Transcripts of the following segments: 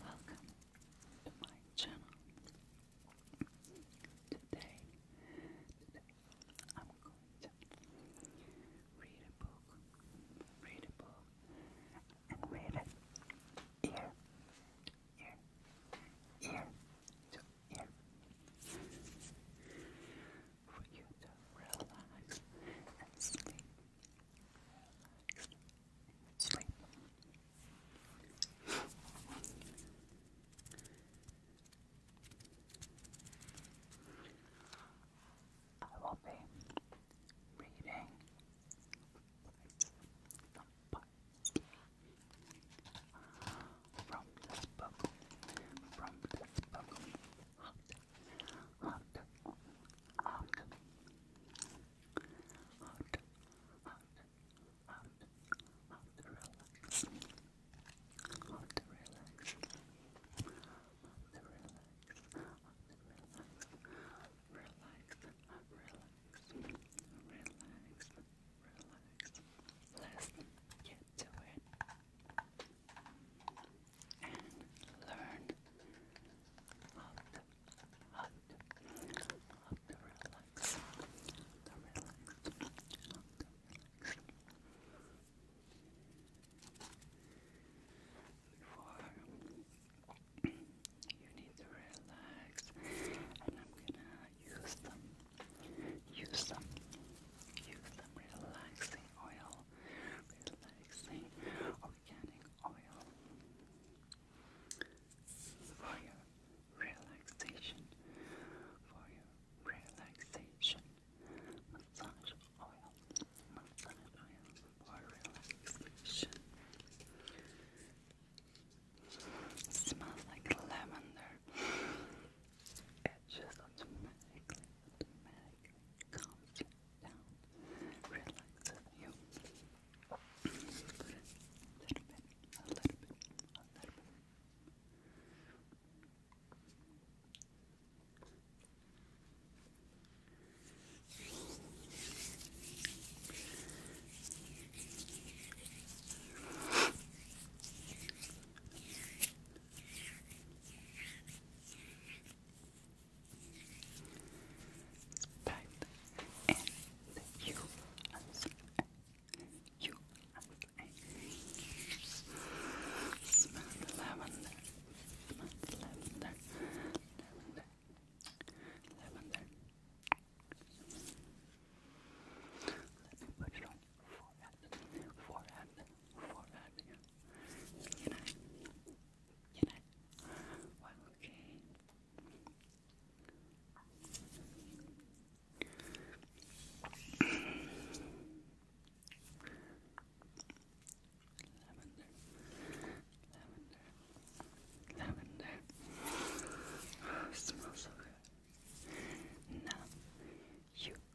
Welcome to my channel. Today, today I'm going to read a book, read a book, and read it ear, ear, ear to ear for you to relax and sleep. Relax sleep. I will be reading from this book, from this book, hot, hot, hot, hot, hot, hot, relax, relax, relax. Relax, relax, relax, relax, relax, relax, relax, relax, relax, relax, relax, and learn how to, how to, relax, to relax, Before you need to relax, and I'm gonna use them, use them, use them relaxing oil relaxing organic oil for your relaxation, for your relaxation, massage oil, massage oil for relaxation. It smells like lavender. It just automatically, automatically calms you down, relaxes you. a little bit, a little bit, a little bit. Pipe and you as you smell lavender, smell lavender, lavender, Let me put it on forehead, forehead, forehead, you know, you okay. Lavender, lavender, lavender. Oh, smells so good. Now you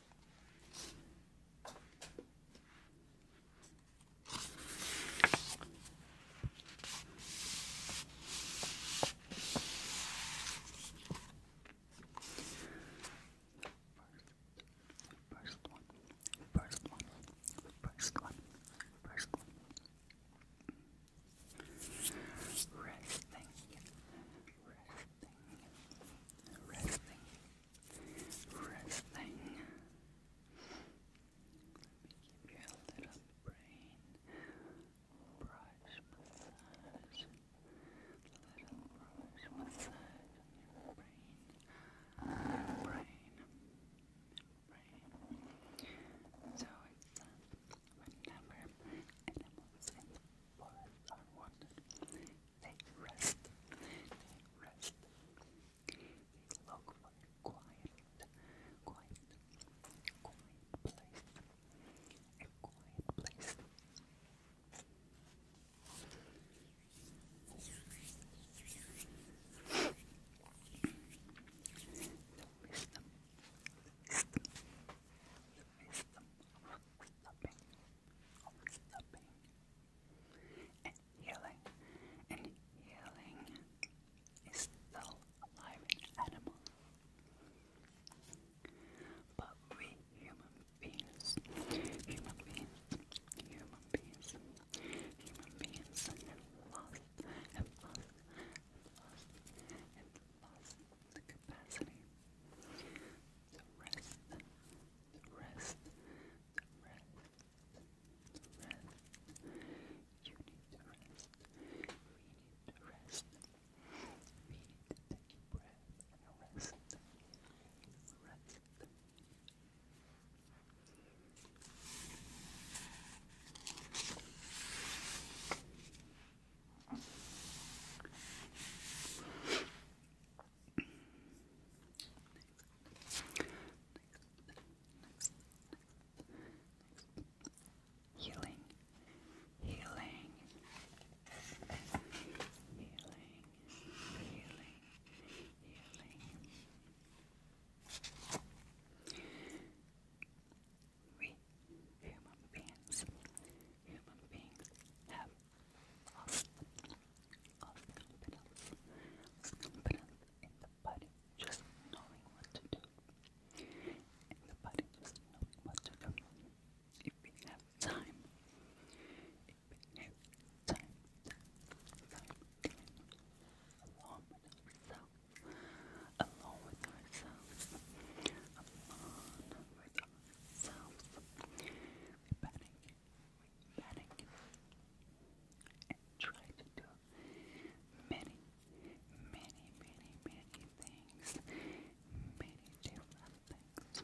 First one, first one, first one, first one. Resting, resting, resting, resting. Let me give you a little brain brush massage, little brush massage on your brain, brain, brain. So it's whenever animals in forests are wanted, they rest. They rest. They look for quiet, quiet, quiet place. A quiet place. The wisdom, the stopping and healing. And healing is still alive in animals. But we human beings, human beings, human beings, human beings have lost, have lost, have lost, have lost the capacity the rest, the rest, the rest, the rest. You need to rest. We need to rest. We need to take a breath and rest. Rest next, next, healing, healing, healing, healing, healing. We human beings human beings have confidence, in the body, just knowing what to do. In the body, just knowing what to do. If we have time, if we have time, time, time, alone with ourselves, alone with ourselves, alone with ourselves we panic, we panic, and try to do many, many, many, many things, many different things,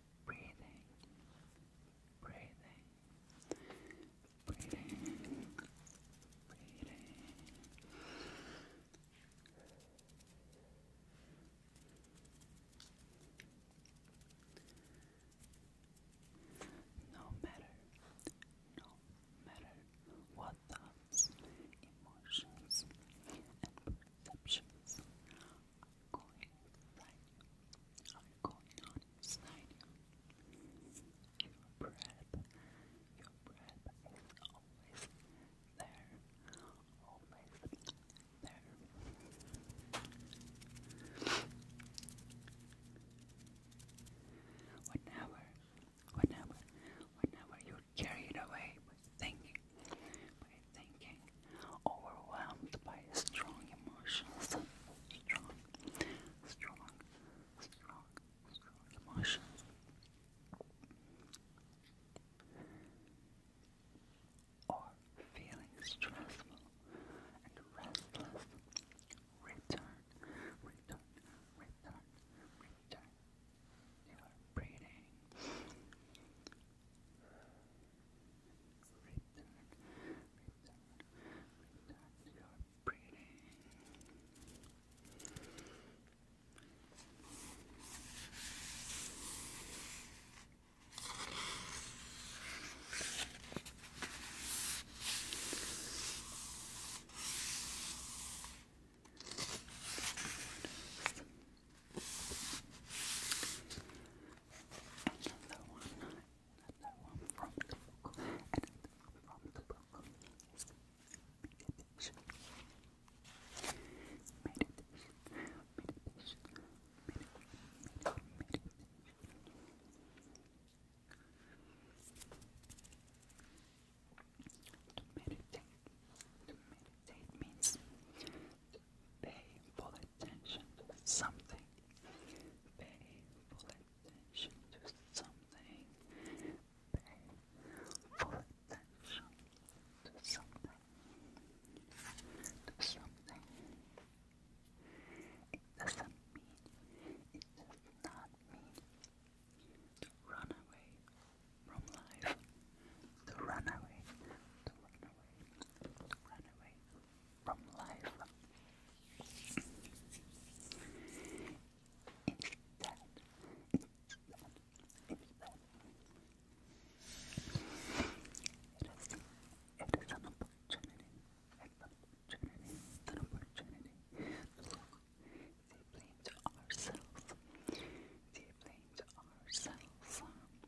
breathing, breathing, breathing, breathing. No matter, no matter what thoughts, emotions, and perceptions going right are going inside you. Your breath, your breath is always there, always there. Whenever, whenever, whenever you're carried away with thinking by thinking, overwhelmed by strong emotions, strong, strong, strong, strong emotions. Or feeling stressful and restless, return, return, return, return. You are breathing. Return, return, return your breathing. Another one, another one from the book, another one from the book. Meditation, meditation, meditation, meditation, meditation. To meditate, to meditate means to Pay full attention to something. Pay full attention to something. Pay full attention to something. To something. It doesn't mean, it does not mean to run away from life. To run away, to run away to run away from life. Instead, instead, instead, it is, it is an opportunity, an opportunity, an opportunity to look deeply into ourselves, deeply into ourselves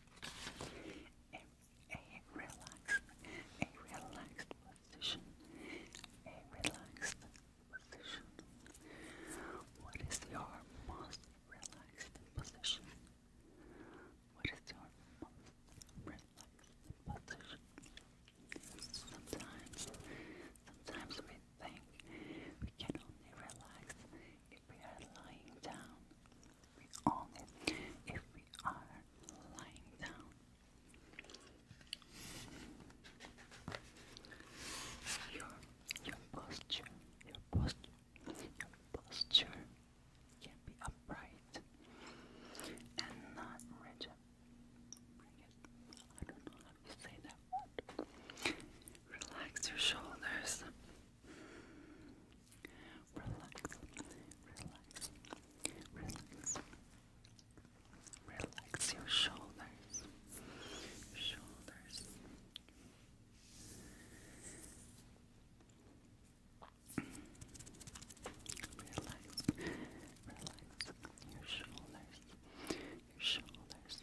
a, relaxed, a relaxed position, a relaxed position. What is your most relaxed position? What is your most relaxed position? Sometimes, sometimes we think we can only relax if we are lying down, we own If we are lying down, your your posture, your posture, your posture can be upright and not rigid. I don't know how to say that word. Relax your shoulders. Relax, relax, relax. Relax your shoulders, shoulders. Relax, relax your shoulders, shoulders.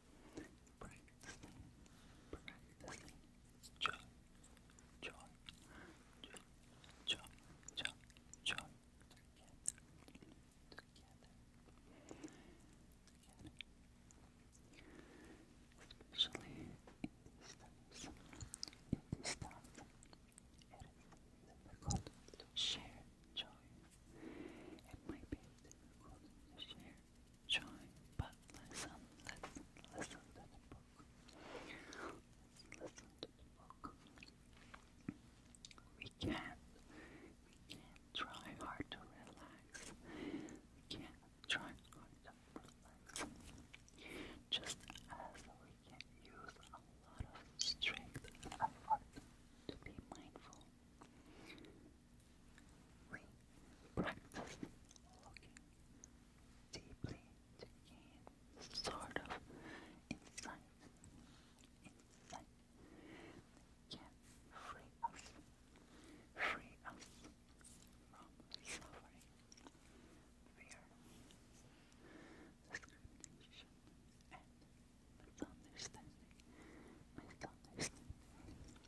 practicing, practicing, joy, joy, joy, joy, joy, joy, together, together, together, especially in these times, in these times, it is difficult to share joy, it might be difficult to share join, but listen, listen, listen to the book. Listen, to the book. We can we can try hard to relax. can try to relax. Just as we can use a lot of strength and effort to be mindful. We practice looking deeply to gain sort of insight, insight that can free us, free us from suffering, fear, discrimination, and misunderstanding, misunderstanding.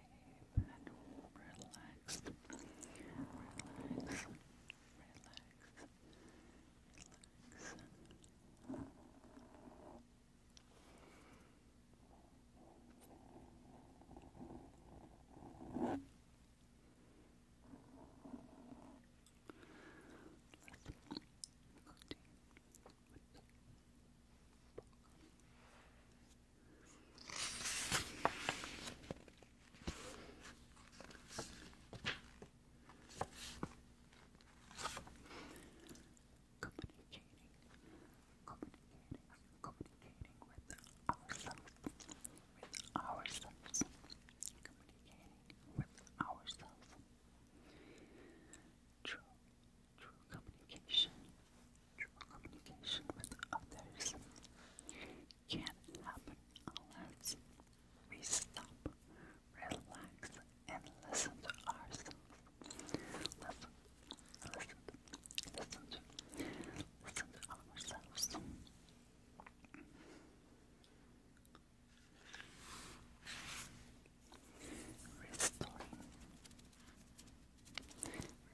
safe and relaxed. Relax. Relax. Relax. Let's continue with the book. Communicating, communicating, communicating with ourselves, with ourselves, communicating with ourselves. True, true communication True communication with others can happen unless we stop, relax, and listen to ourselves. Listen, listen, listen, listen to ourselves.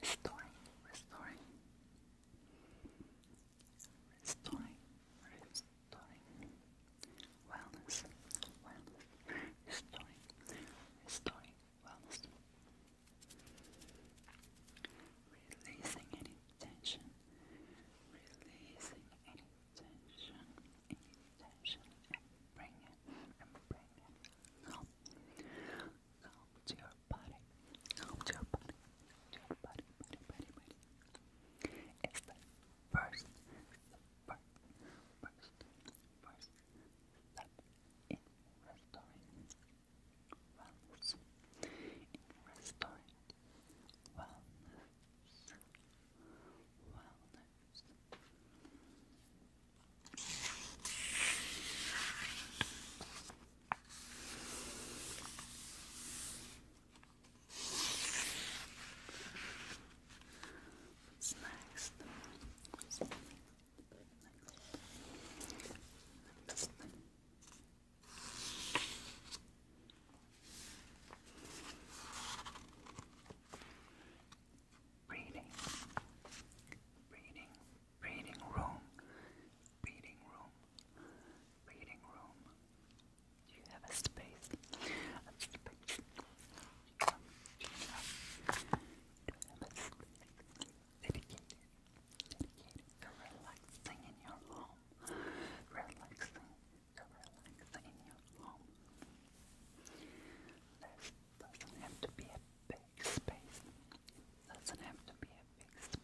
Restoring, restoring, restoring. Restoring, restoring, wellness, wellness, restoring, restoring, wellness. Releasing any tension, releasing any tension, any tension, and bring and bring home to your body, home to your body, to your body, body, body, body. It's the first, first, first, first step in restoring wellness, in restoring wellness. Wellness. What's next? Breathing, breathing, reading room, reading room, reading room. Do you have a space? Do you have a space to relaxing in your home? Relaxing, relaxing in your home. This doesn't have to be a bed big space. It doesn't have space.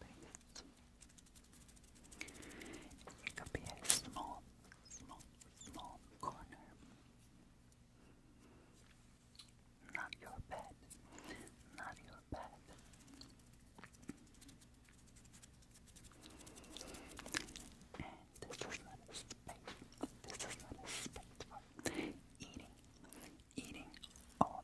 It could be a small, small, small corner. Not your bed. Not your bed. And this is not a space. This is not a space for eating. Eating all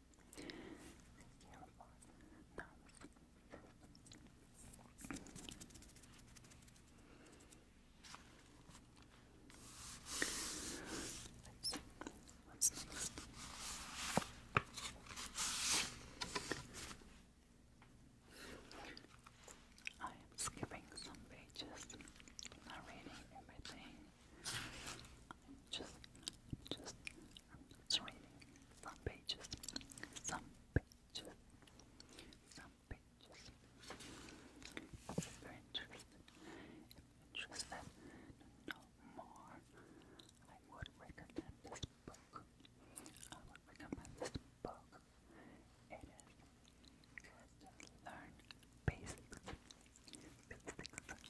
Let's I am skipping some pages, not reading everything. just, just it's reading some pages, some pages, some pages. If you're interested, interested know more, I would recommend this book. I would recommend this book. It is good learn basics, basics,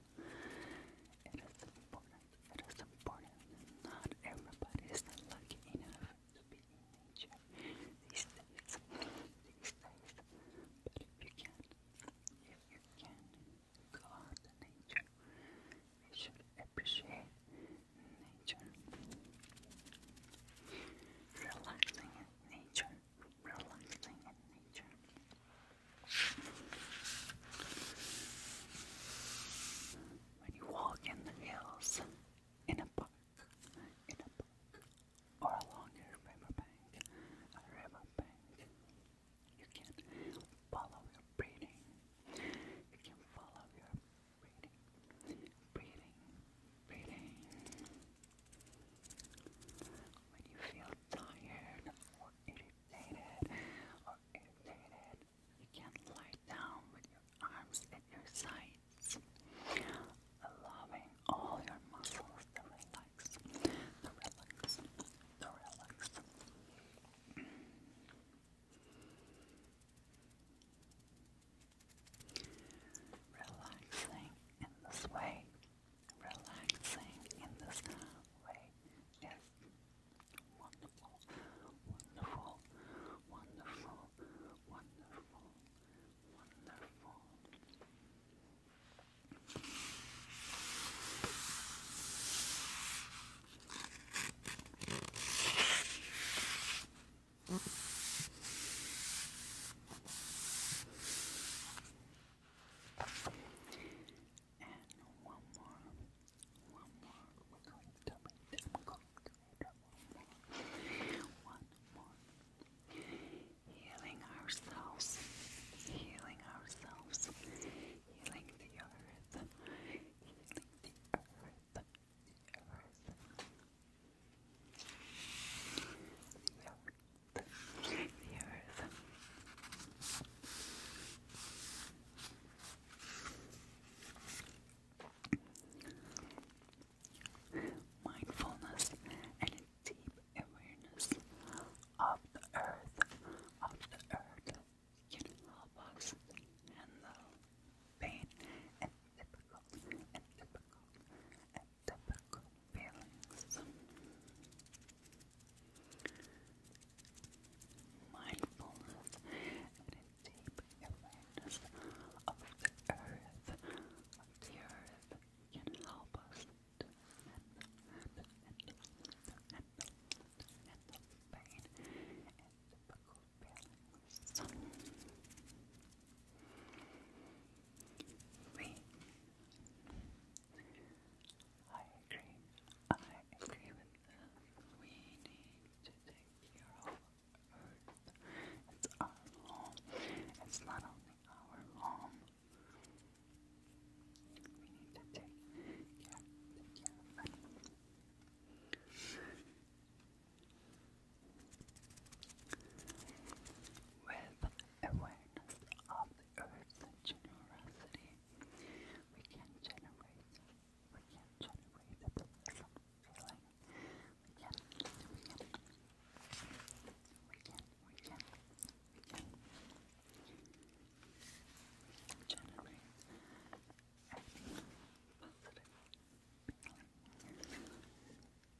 down. It is important. It is important. Not everybody is lucky enough to be in nature these days. These days. But if you can, if you can go out to nature, you should appreciate nature. Relaxing in nature relaxing When you walk in the hills, in a park, in a park, or along your riverbank, a riverbank, you can follow your breathing. You can follow your breathing, breathing, breathing. When you feel tired or irritated or irritated, you can lie down with your arms at your sides, allowing all your muscles to relax, to relax, to relax. Relaxing in this way relaxing in this way is wonderful, wonderful, wonderful, wonderful, wonderful. And one more, one more. We're going to wait. i one more. One more. Healing ourselves. Healing ourselves. Healing the earth. Healing the earth. The earth. The earth the earth. Mindfulness and deep awareness of the earth, of the earth, can help us handle pain and difficult and difficult difficult feelings. Mindfulness and deep awareness of the earth, of the earth, can help us to handle, to handle, to handle, pain and difficult feelings. We I agree. I agree with that. We need to take care of Earth. It's our home. It's not only our home. We need to take care, of it awareness of earth's generosity, we can generate we can generate the pleasant feeling. We can we can we can we can we can generate a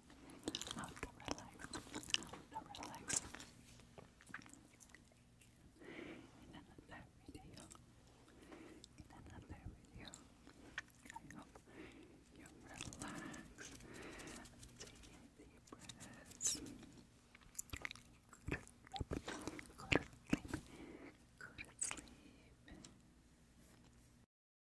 how to relax, how to relax. In another video, in another video, I hope you relax. Take deep breath. Go to sleep. Go to sleep.